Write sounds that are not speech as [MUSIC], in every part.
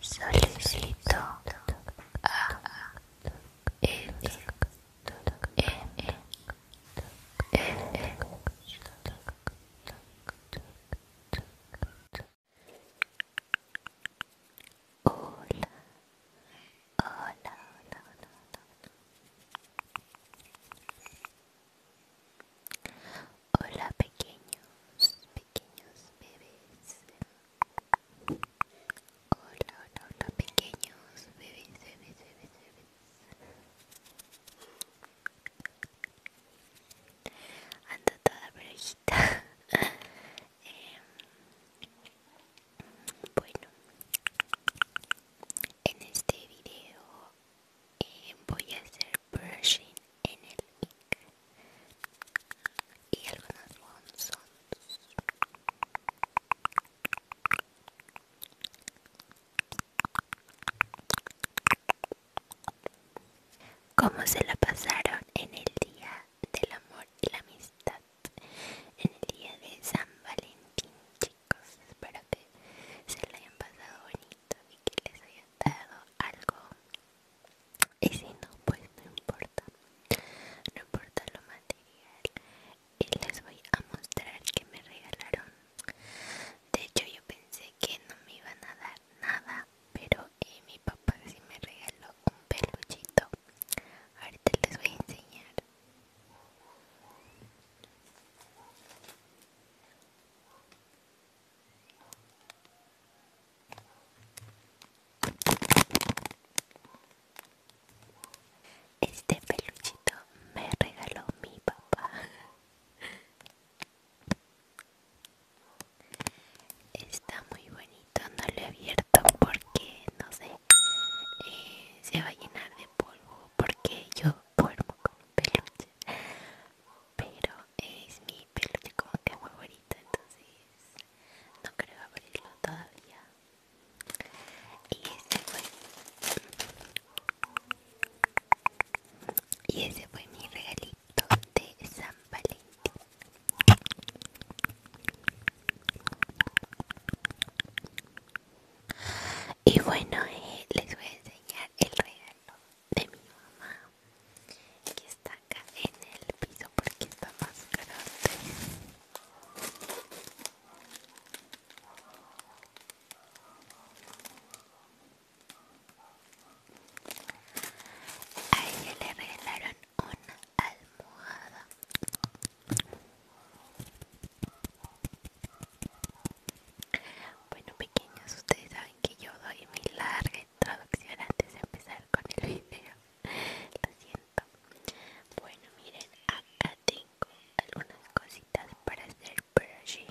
Solicitó a M. Hola, hola, hola, hola, hola. Hola pequeños, pequeños bebés. Hola, hola, hola pequeños bebés, bebés, bebés, bebés. Ando toda brujita. [LAUGHS] Em, bueno, en este video em, voy a hacer brushing en el y algunos bonsons Como se la pasaron en el día del amor y la amistad? En el día de San Valentín, chicos. Espero que se la hayan pasado bonito y que les haya dado algo y si no, pues no importa. No importa lo material. Y les voy a mostrar que me regalaron. De hecho, yo pensé que no me iban a dar nada. Pero eh, mi papá sí me regaló un peluchito. Ahorita les voy a enseñar. Este peluchito me regaló mi papá. Está muy bonito, no lo he abierto porque no sé, eh, se va a llenar de polvo porque yo duermo con peluche pero es mi peluche como que bonito entonces no creo abrirlo todavía y ese fue y ese fue mi regalito de San Valentín y bueno eh, les voy a enseñar el regalo de mi mamá que está acá en el piso porque está más grande a ella le regalaron una almohada bueno pequeños ustedes saben que yo doy mi larga introducción antes de empezar con el video lo siento bueno miren acá tengo algunas cositas para hacer brushing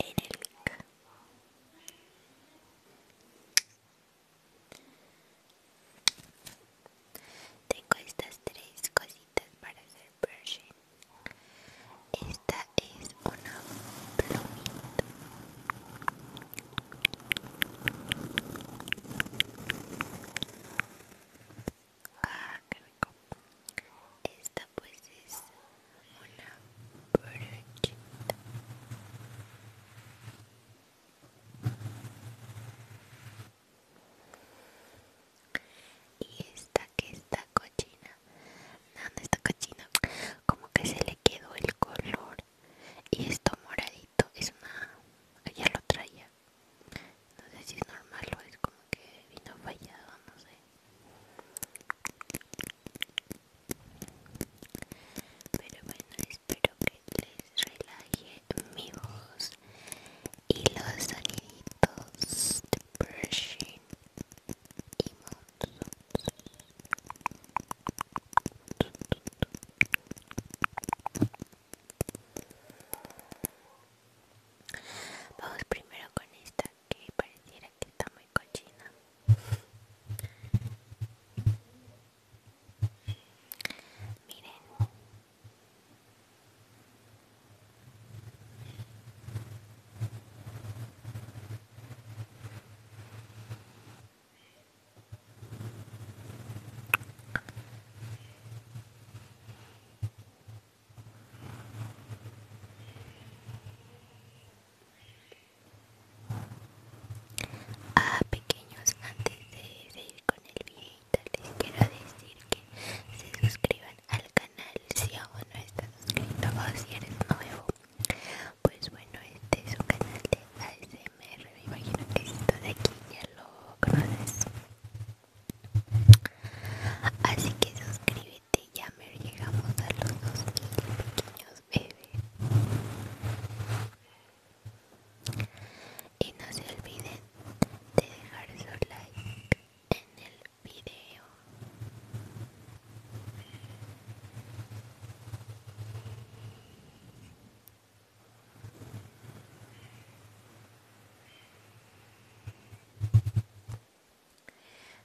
en el link tengo estas tres cositas para hacer brushing esta es una plomita Ah, qué rico. Esta pues es una brochita. Y esta que está cochina nada esta cachina. Como que se le quedó el color. Y esto moradito es una. Ella lo traía. No sé si es normal o es como que vino fallado, no sé. Pero bueno, espero que les relaje mi voz y los soniditos de brushing Vamos primero con esta que pareciera que está muy cochina. Miren. Ah, pequeños, antes de seguir con el videito les quiero decir que se suscriban al canal si aún no están suscritos o si eres nuevo pues bueno, este es un canal de ASMR, me imagino que esto de aquí ya lo conoces. Así que suscríbete, ya me llegamos a los 2000 pequeños bebés. Y no se olviden de dejar su like en el video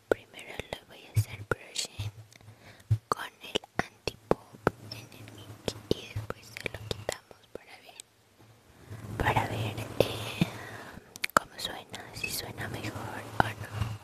Primero lo voy a hacer brushing con el antipop en el mic y después se lo quitamos para ver para ver eh, cómo suena, si suena mejor o no.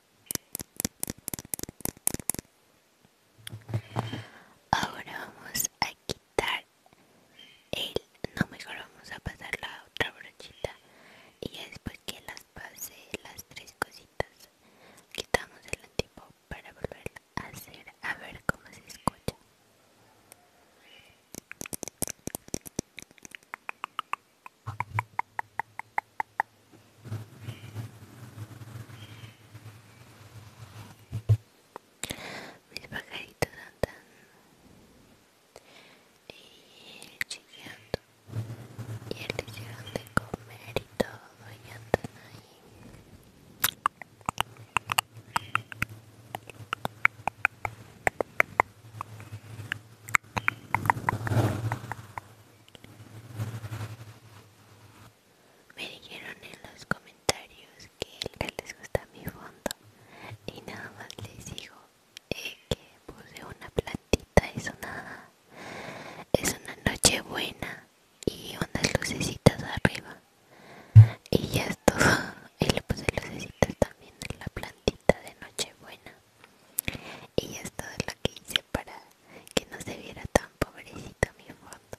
Ahora vamos a quitar el, no mejor vamos a pasar la otra brochita y después que las pase las tres cositas quitamos el antiguo para volver a hacer a ver cómo se escucha. Mis pajaritos andan eh, y chillando y el les llegan de comer y todo y andan ahí. Me dijeron en los comentarios que les gusta mi fondo y nada más les digo eh, que puse una plantita, es una, es una noche buena y unas lucecitas arriba y ya es [LAUGHS] y le puse lucecitas también en la plantita de noche buena y ya es lo que hice para que no se viera tan pobrecito mi foto?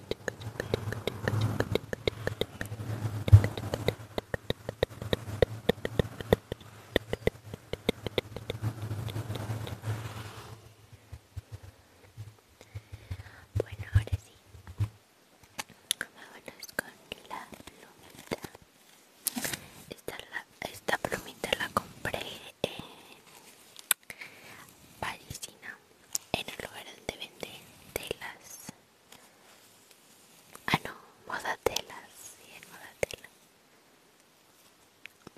Bueno, ahora sí. es con la plumita. esta plumita la compré en eh, parisina en el lugar donde venden telas. Ah, no, moda telas, sí, en moda telas.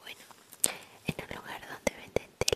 Bueno, en un lugar donde venden telas.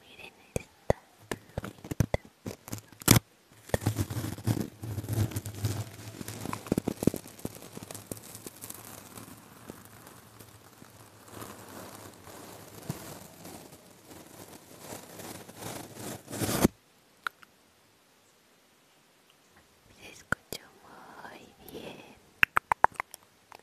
Miren esta Se muy bien.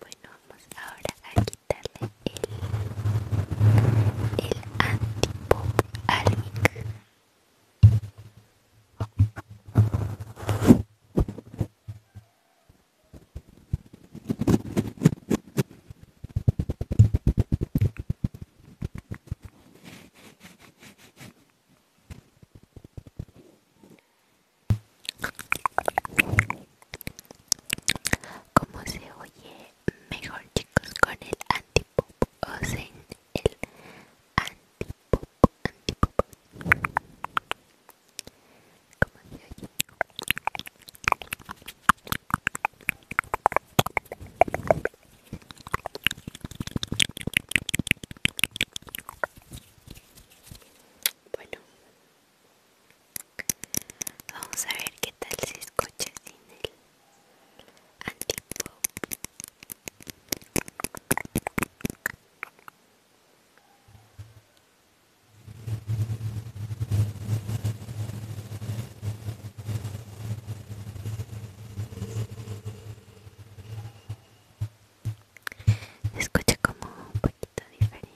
Bueno, vamos ahora a quitarle el, el antipop Cómo se oye mejor chicos con el antipop o sin el antipop, antipop. Como se oye. Bueno, Vamos a ver qué tal se escucha sin el escucha como poquito diferente.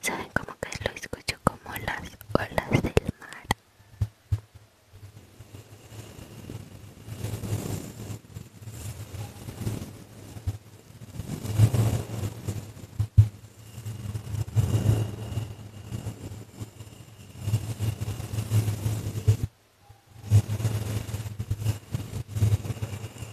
Saben cómo que lo escucho como las olas del mar.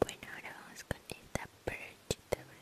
Bueno, ahora vamos con esta perchita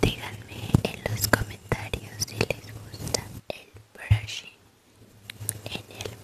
Díganme en los comentarios si les gusta el brushing en el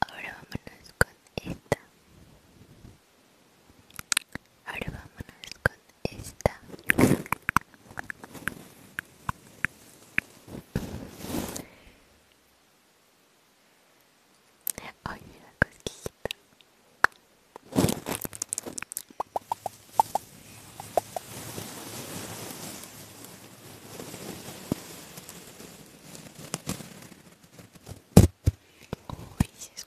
Ahora vamos con esta Ahora vamos ver con esta. Ay, la cosquillita. Uy, se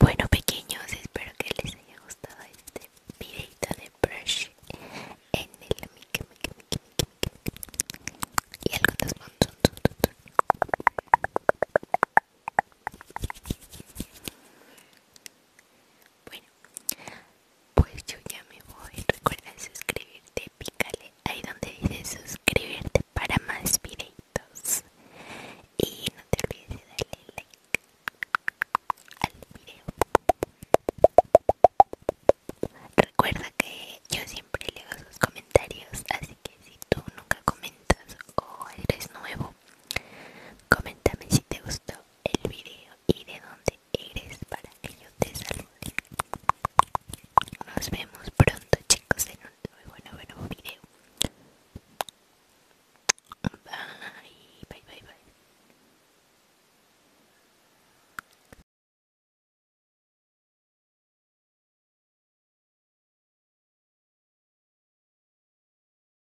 Bueno pequeños, espero que les haya gustado este videito de brush en el y algo bueno, pues yo ya me voy. Recuerda suscribirte, pícale ahí donde dice suscribirte para más videitos. Y no te olvides de darle like al video. Recuerda que yo siempre leo sus comentarios, así que si tú nunca comentas o eres nuevo, coméntame si te gustó el video y de dónde eres para que yo te salude. Nos vemos pronto chicos en un nuevo, nuevo video. bye, bye, bye.